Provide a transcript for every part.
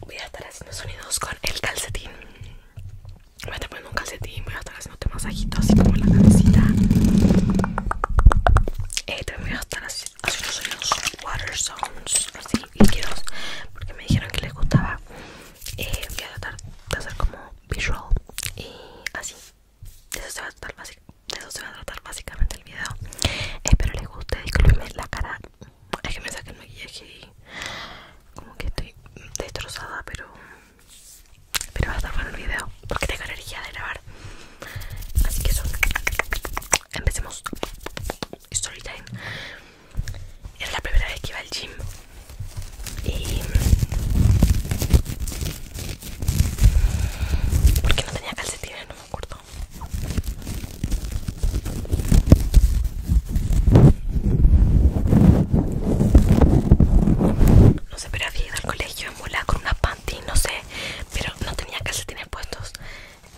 Voy a estar haciendo sonidos con el calcetín Voy a estar poniendo un calcetín Voy a estar haciendo haciéndote masajitos así como la cabecita eh, También voy a estar haciendo sonidos water sounds Así, líquidos Porque me dijeron que les gustaba eh, Voy a tratar de hacer como visual Y así de eso se va a tratar, básicamente el video espero les guste disculpenme la cara es que me saqué el maquillaje y como que estoy destrozada pero pero va a estar bueno el video porque tengo energía de grabar así que eso empecemos story time era la primera vez que iba al gym y porque no tenía calcetines, no me acuerdo. No sé, pero había ido al colegio en con una panty, no sé, pero no tenía calcetines puestos.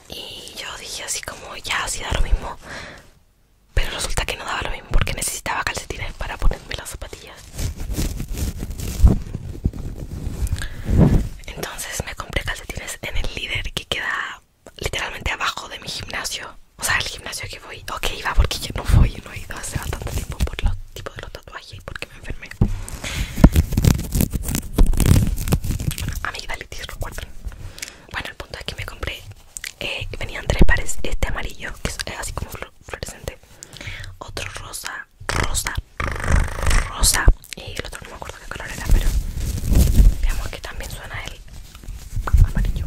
Y yo dije así como, ya, así da lo mismo. Pero resulta que no daba lo mismo porque necesitaba calcetines para ponerme las zapatillas entonces me compré calcetines en el líder que queda literalmente abajo de mi gimnasio o sea el gimnasio que voy o que iba porque yo no voy no he ido hace bastante tiempo por los tipos de los tatuajes y porque me enfermé amigdalitis recuerdan. bueno el punto es que me compré eh, venían tres pares este amarillo que es eh, así como fluorescente otro rosa rosa rosa y el otro no me acuerdo qué color era pero veamos que también suena el amarillo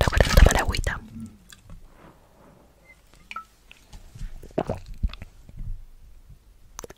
Recuerda tomar agüita.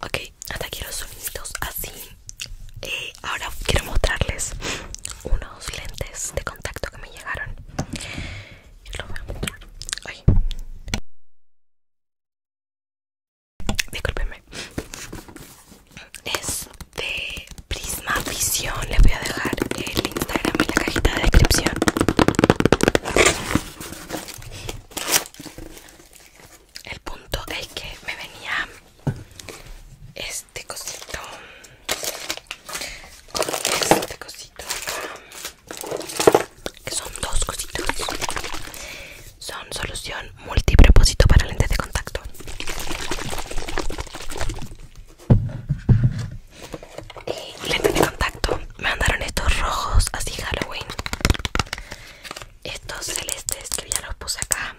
Ok, hasta aquí los sonidos así. Eh, ahora quiero mostrarles unos lentes de contacto que me llegaron. Yo los voy a mostrar. Disculpenme. Es de Prisma Visión. Les voy a dejar el Instagram en la cajita de descripción. El punto es que me venía este cosito este cosito que son dos cositos. Son solución multipropósito para lentes de contacto y lentes de contacto me mandaron estos rojos así Halloween estos celestes que ya los puse acá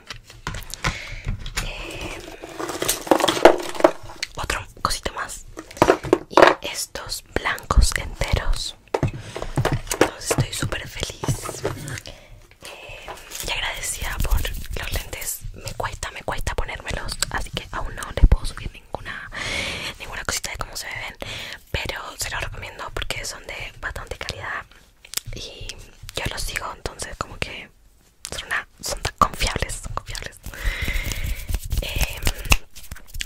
em, otro cosito más y estos blancos enteros entonces estoy súper feliz em, y agradecida por los lentes. Me cuesta, me cuesta ponérmelos, así que aún no les puedo subir ninguna ninguna cosita de cómo se ven, pero se los recomiendo porque son de bastante calidad y yo los sigo, entonces como que son, tan confiables, confiables. Em,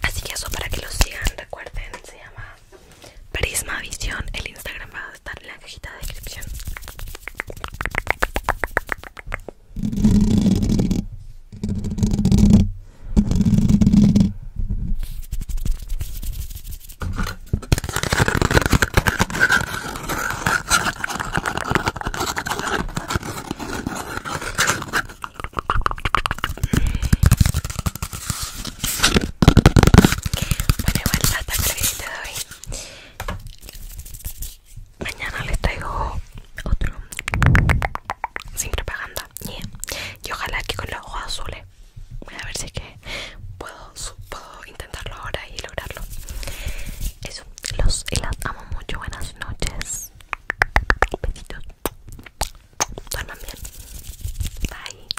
así que eso para que los sigan, recuerden, se llama Prisma Visión, el Instagram a estar en la cajita de descripción. Bueno, igual hasta que de hoy Mañana les traigo otro sin propaganda y ojalá que con los ojos azules. Voy a ver si que puedo, puedo intentarlo ahora y lograrlo. Eso, los y amo mucho. Buenas noches. Besitos. Duerman bien. Bye.